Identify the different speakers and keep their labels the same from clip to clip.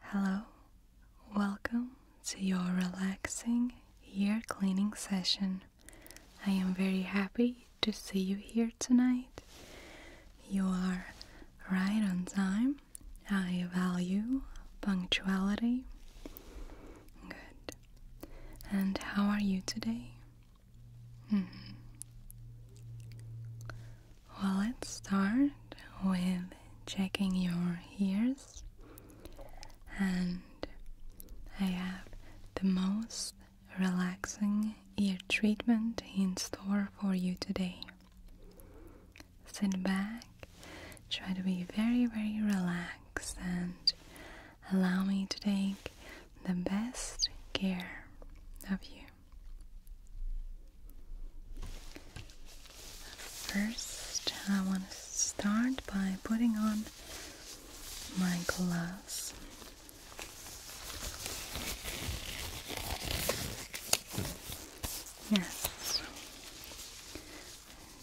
Speaker 1: Hello, welcome to your relaxing ear cleaning session. I am very happy to see you here tonight. You are right on time. I value punctuality. Good. And how are you today? Hmm. Well, let's start with checking your ears, and I have the most relaxing ear treatment in store for you today. Sit back, try to be very, very relaxed, and allow me to take the best care of you. First, I want to start by putting on my gloves. Yes.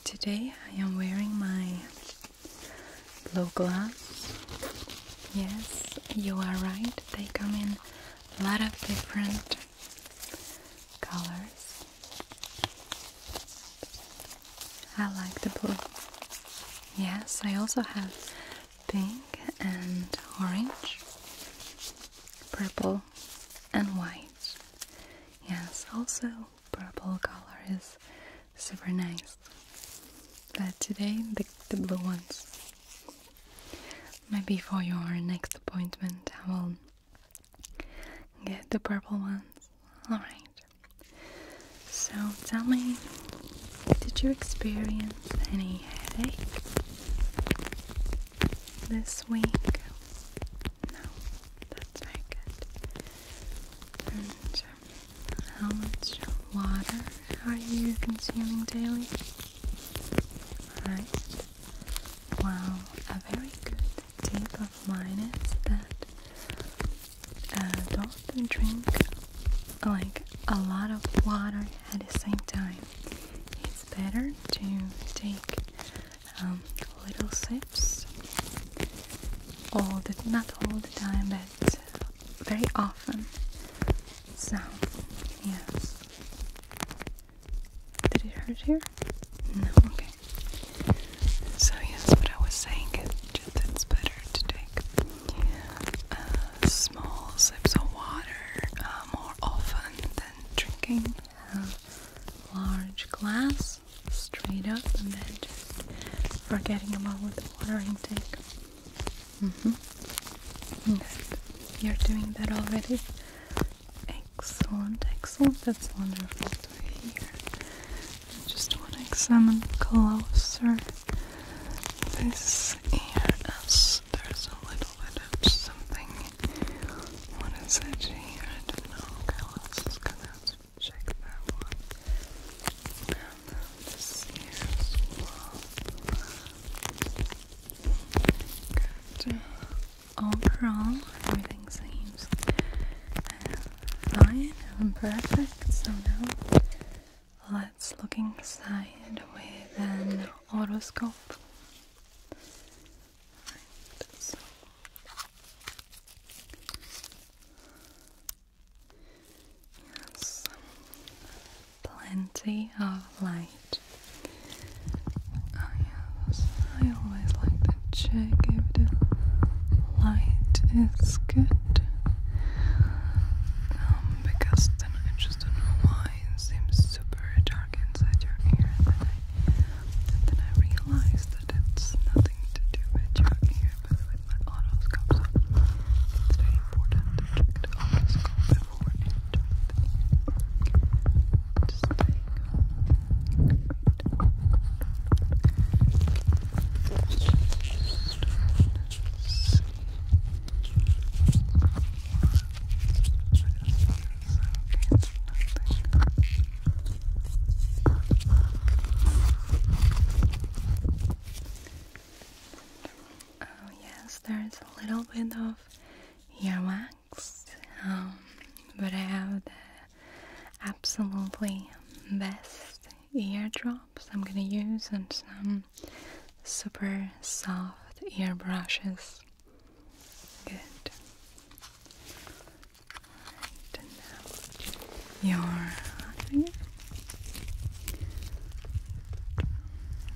Speaker 1: Today I am wearing my blue gloves. Yes, you are right. They come in a lot of different colors. I like the blue. Yes, I also have pink and orange, purple and white. Yes, also purple color is super nice. But today the, the blue ones Maybe for your next appointment I will get the purple ones. Alright. So tell me, did you experience any headache this week? No, that's very good. And um, how much water are you consuming daily? Alright. Wow, a very good tip of mine is that uh, don't drink like a lot of water at the same time. It's better to take um, little sips all the not all the time, but very often. So, yes. Did he hurt here? No, okay. So yes, what I was saying is it's better to take uh, small sips of water uh, more often than drinking a large glass straight up and then just forgetting about the water intake. Mm-hmm. You're doing that already. Excellent, excellent. That's wonderful to just want to examine closer this ear as there's a little bit of something. What is it here? I don't know. Okay, let's just going check that one. And this ear as overall everything seems uh, fine and perfect so now let's look inside with an otoscope yes plenty of light right. Oh I always like to check if the light is good. Um, because then I just don't know why it seems super dark inside your ear and then I, realize that it's nothing to do with your ear but with my otoscope it's very important to check the otoscope Oh yes, there's a little bit of Yama um, but I have the absolutely best eardrops I'm gonna use and some super soft ear brushes. Good. And now your other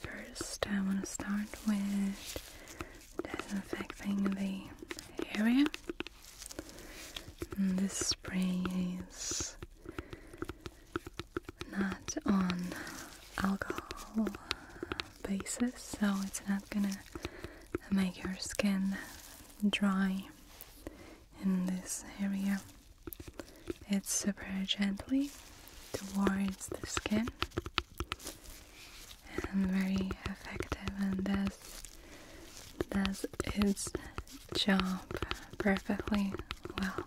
Speaker 1: First, I want to start with disinfecting the area. And this spray is not on alcohol basis so it's not gonna make your skin dry in this area it's super gently towards the skin and very effective and does does its job perfectly well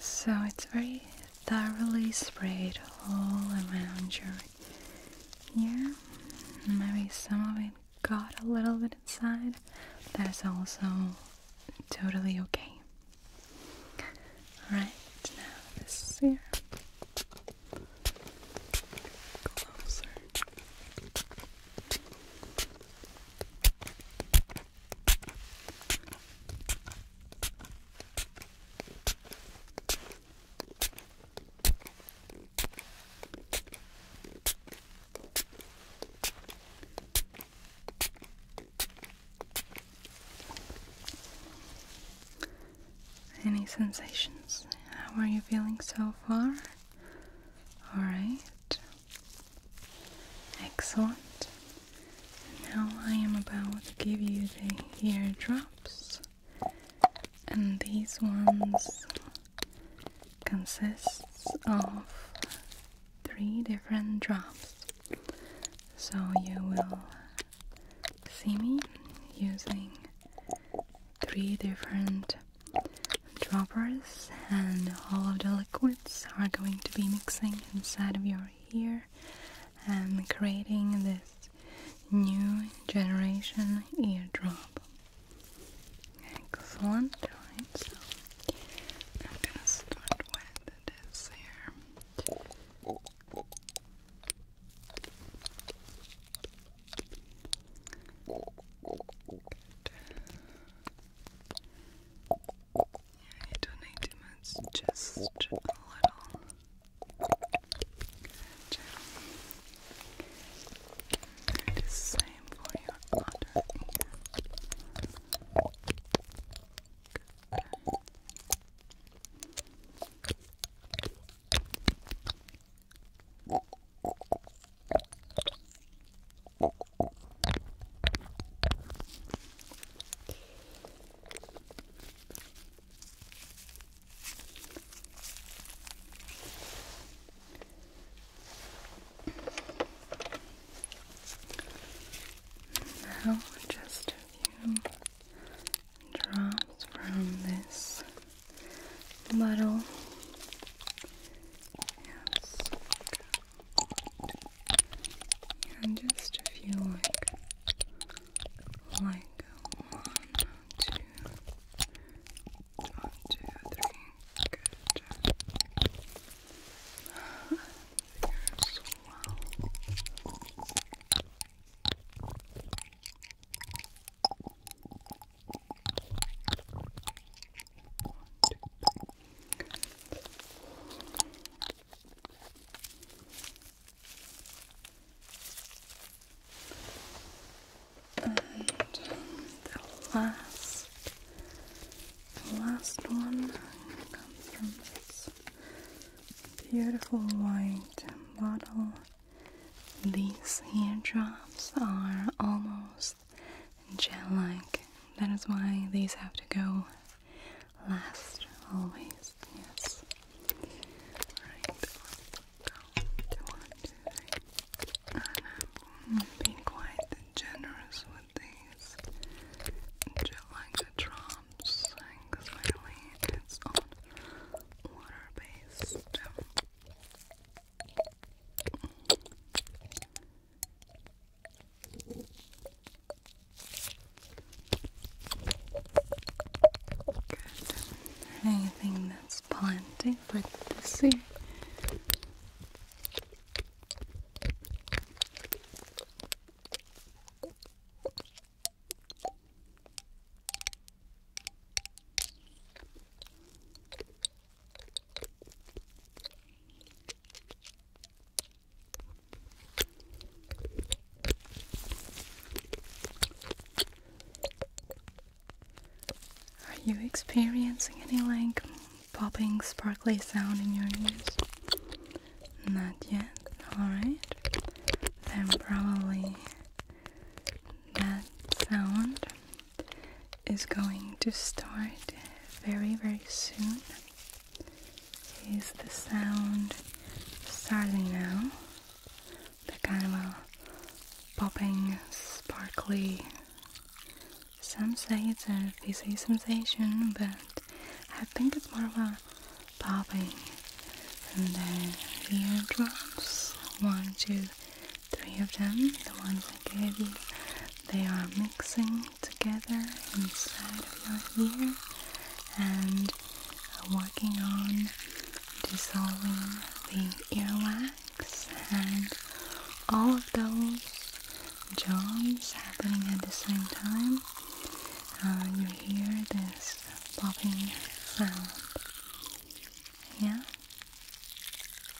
Speaker 1: So it's very thoroughly sprayed all around your ear. Maybe some of it got a little bit inside. That's also totally okay. Alright, now this here. Closer. Any sensations? How are you feeling so far? Alright. Excellent. Now I am about to give you the eardrops, and these ones consists of three different drops. So you will see me using three different droppers and all of the liquids are going to be mixing inside of your ear and creating this new generation eardrop. Excellent, right? I'm gonna start with this here. Yeah, don't need too much, just a little. Gel. the same for your now just a few drops from this little yes. and just a few like like one, two, one, two, three, good. Fingers well. And the last, last one comes from this beautiful white bottle these drops are almost gel like. That is why these have to go last always. Yes. Alright. Go. I'm uh, being quite generous with these gel like drops. Because really it's on water based. Anything that's plenty with the sea. Are you experiencing any like popping sparkly sound in your ears? Not yet. Alright. Then probably that sound is going to start very, very soon. Is the sound starting now? The kind of a popping, sparkly. Some say it's a fizzy sensation, but I think it's more of a popping. And then drops. One, two, three of them, the ones I gave you, they are mixing together inside of your ear and working on dissolving the earwax and all of those jobs happening at the same time. Uh, you hear this popping sound. Yeah?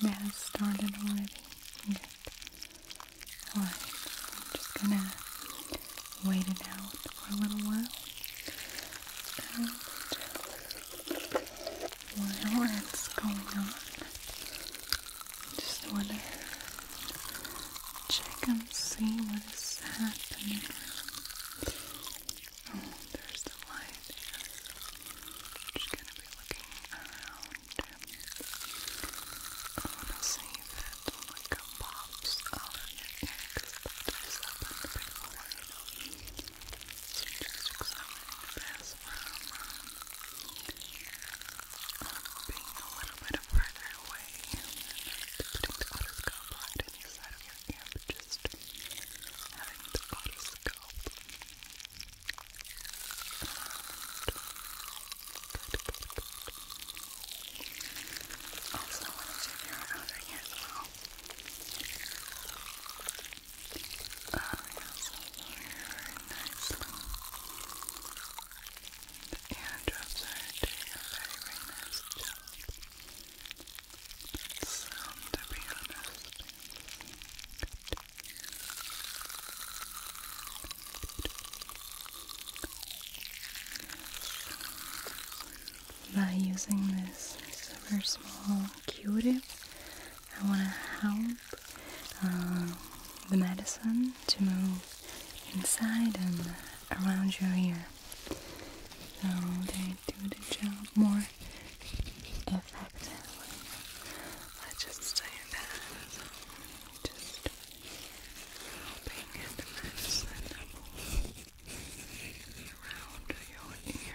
Speaker 1: That has started already. Good. I'm just gonna wait it out for a little while. And while what's going on, just wanna check and see what is happening there's the light just gonna be looking around. I wanna see of your neck. That's up in just examining this from um, uh, being a little bit further away putting the otoscope right in the of your ear, just having the otoscope. Good, good, good. I want to check your outer ear as well. Uh, also nicely. The eardrops are doing a very, sound, to By using this super small Q-tip, I want to help um, the medicine to move inside and around your ear. So they do the job more effectively. let just say that. Just helping get the medicine around your ear.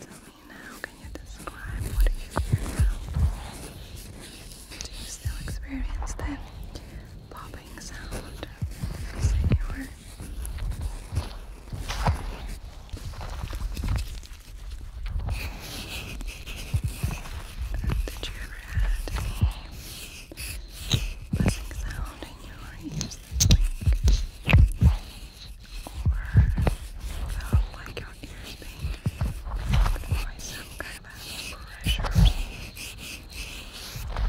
Speaker 1: Tell me now, can you describe what you feel Do you still experience that popping sound as did you ever had buzzing sound in your ears that's like, or without like your ears being by some kind of pressure.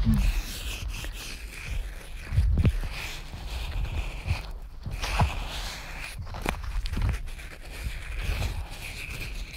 Speaker 1: Mm -hmm. Okay.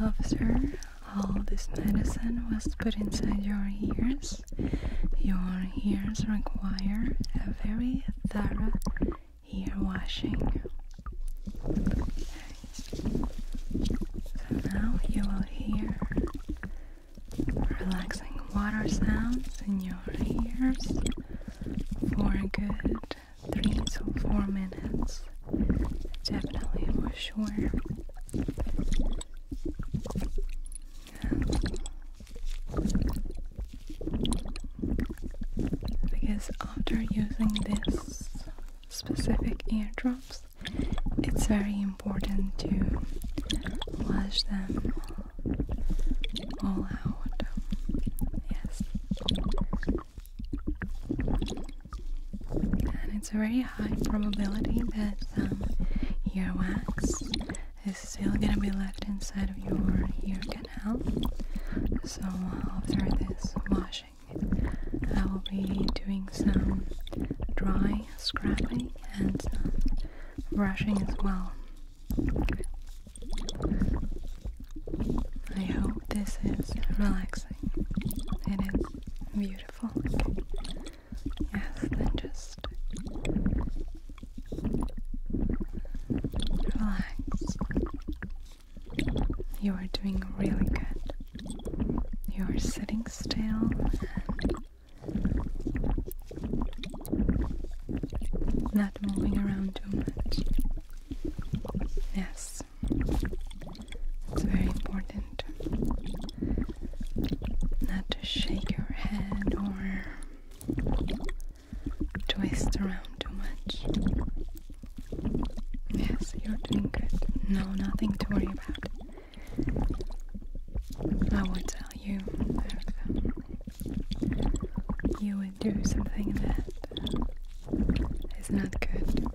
Speaker 1: After all this medicine was put inside your ears, your ears require a very thorough ear washing. So now you will hear relaxing water sounds in your ears for good three to four minutes. Definitely for sure. Because after using this specific eardrops, it's very important to flush them all out. Yes. And it's a very high probability that some um, earwax is still gonna be left inside of your ear canal. So after this washing, I will be doing some dry scrubbing and brushing as well I hope this is relaxing. It is beautiful. Yes, then just relax. You are doing really good. You are sitting still and not moving around too much. Yes, it's very important not to shake your head or twist around too much. Yes, you're doing good. No, nothing to worry about. I will tell you you would do something that is not good.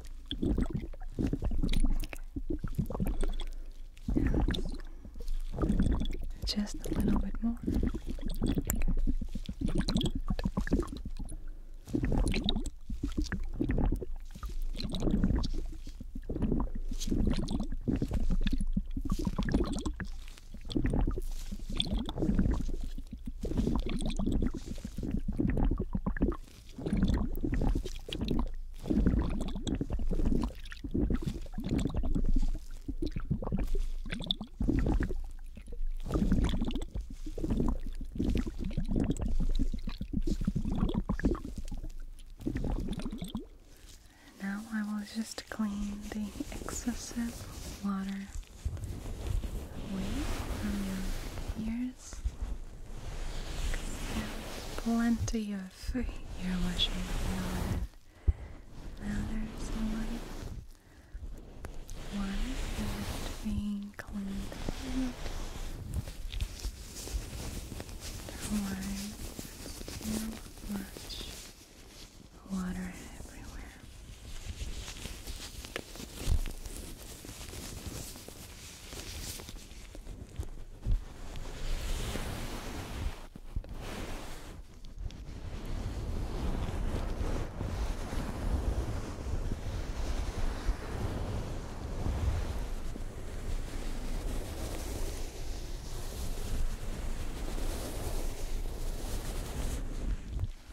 Speaker 1: Just a little bit more. Now I will just clean the excessive water away from your ears. plenty of food you're washing your hands, Now there's one. is being cleaned out. One much water everywhere.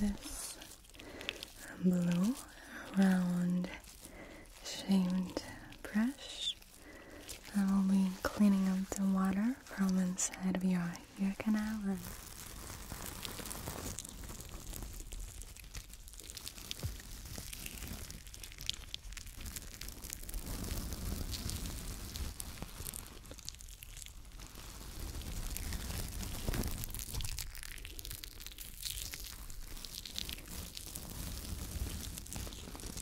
Speaker 1: This blue round shaped brush I will be cleaning up the water from inside of your ear canal and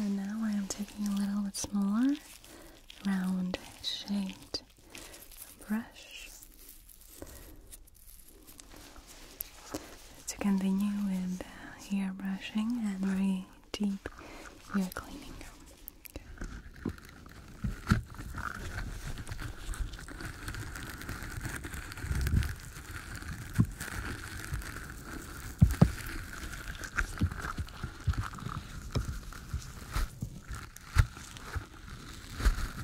Speaker 1: And now I am taking a little bit smaller round shape brush to continue with uh, ear brushing and very deep ear cleaning.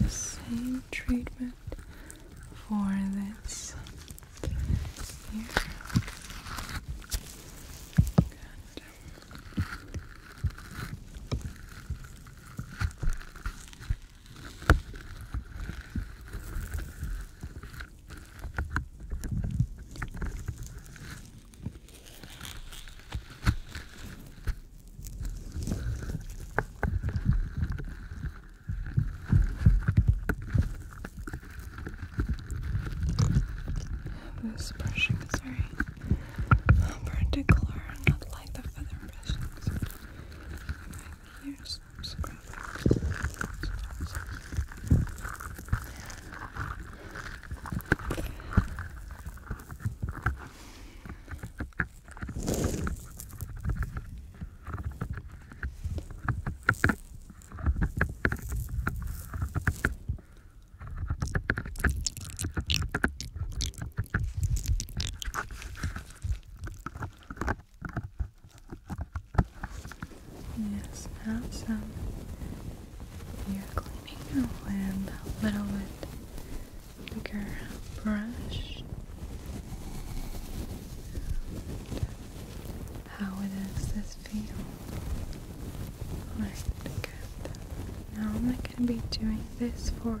Speaker 1: The same treatment for this here. This brushing is very particular, not like the feather brushes. Here's some scrub. Yes, now some cleaning with a little bit bigger brush. How does this feel? Alright, good. Now I'm not going to be doing this for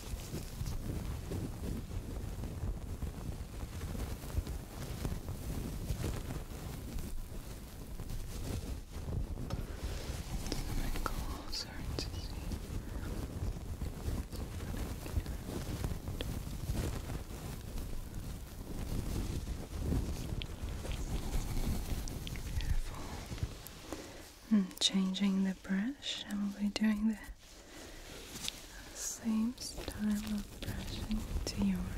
Speaker 1: Cinnamon calls are I'm changing the brush and we'll be doing the same style of brushing to your hair.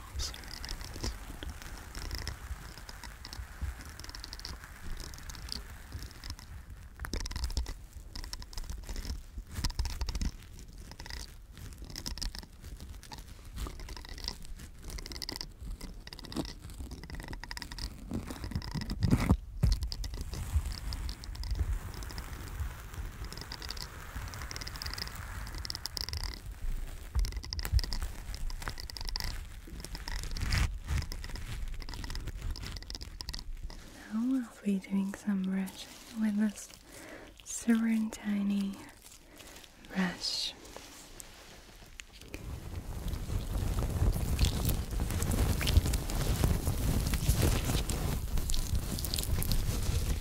Speaker 1: also read this one. All now I'll be doing some brushing with this super tiny brush.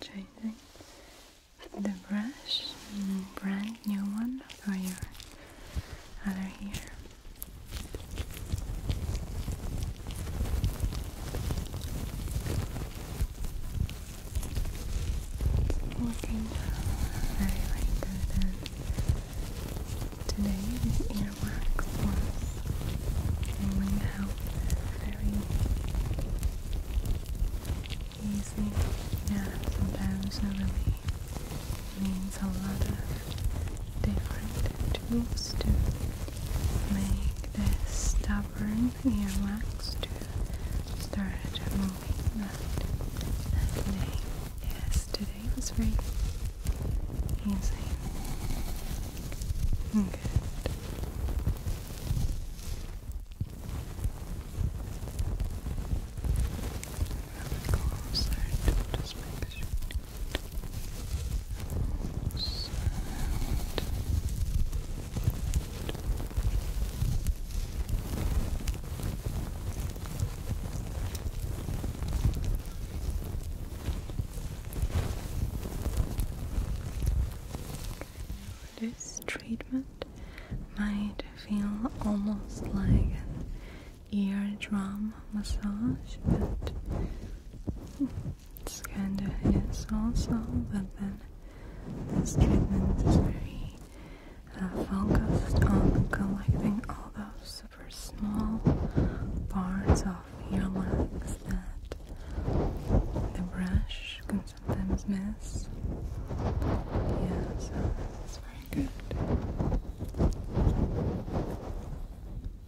Speaker 1: Try the brush, mm, brand new one for your other ear. Looking very, good. today, this earwax was going out very easy. Yeah, sometimes it really means a lot different tools to make this stubborn earwax to start moving that, today, day. was very easy. Good. This treatment might feel almost like an eardrum massage, but it's kind of is also, but then this treatment is very uh, focused on collecting all those super small parts of your legs that the brush can sometimes miss. Yeah, it's very good.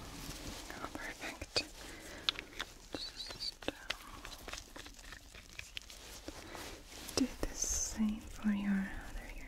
Speaker 1: Oh, perfect. do the same for your other ear.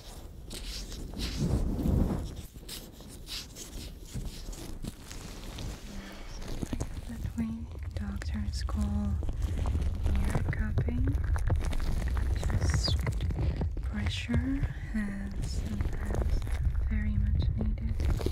Speaker 1: That way, doctors call ear cupping just pressure and sometimes very much needed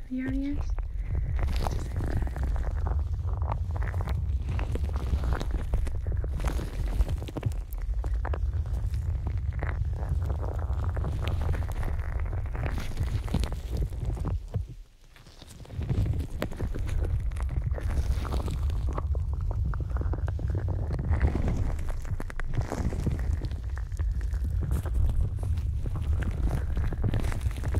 Speaker 1: to the audience at the same time. I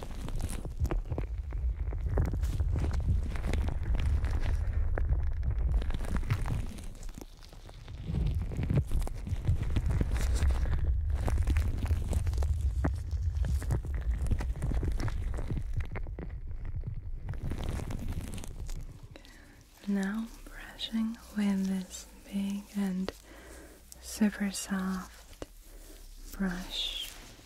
Speaker 1: Now, brushing with this big and super soft brush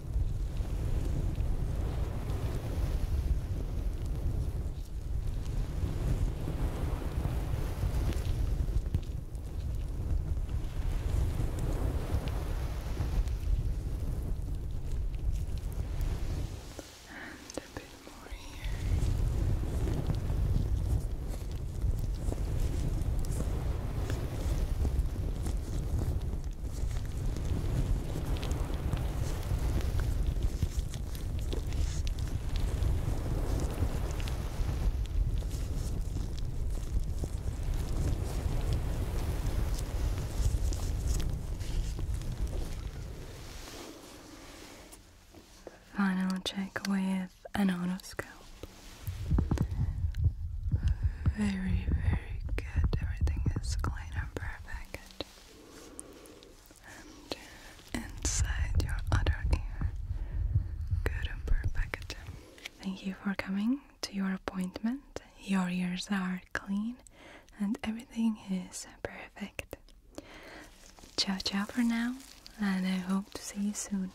Speaker 1: And a bit more here. Final check with an otoscope. Very, very good. Everything is clean and perfect. And uh, inside your other ear. Good and perfect. Thank you for coming to your appointment. Your ears are clean and everything is perfect. Ciao, ciao for now, and I hope to see you soon.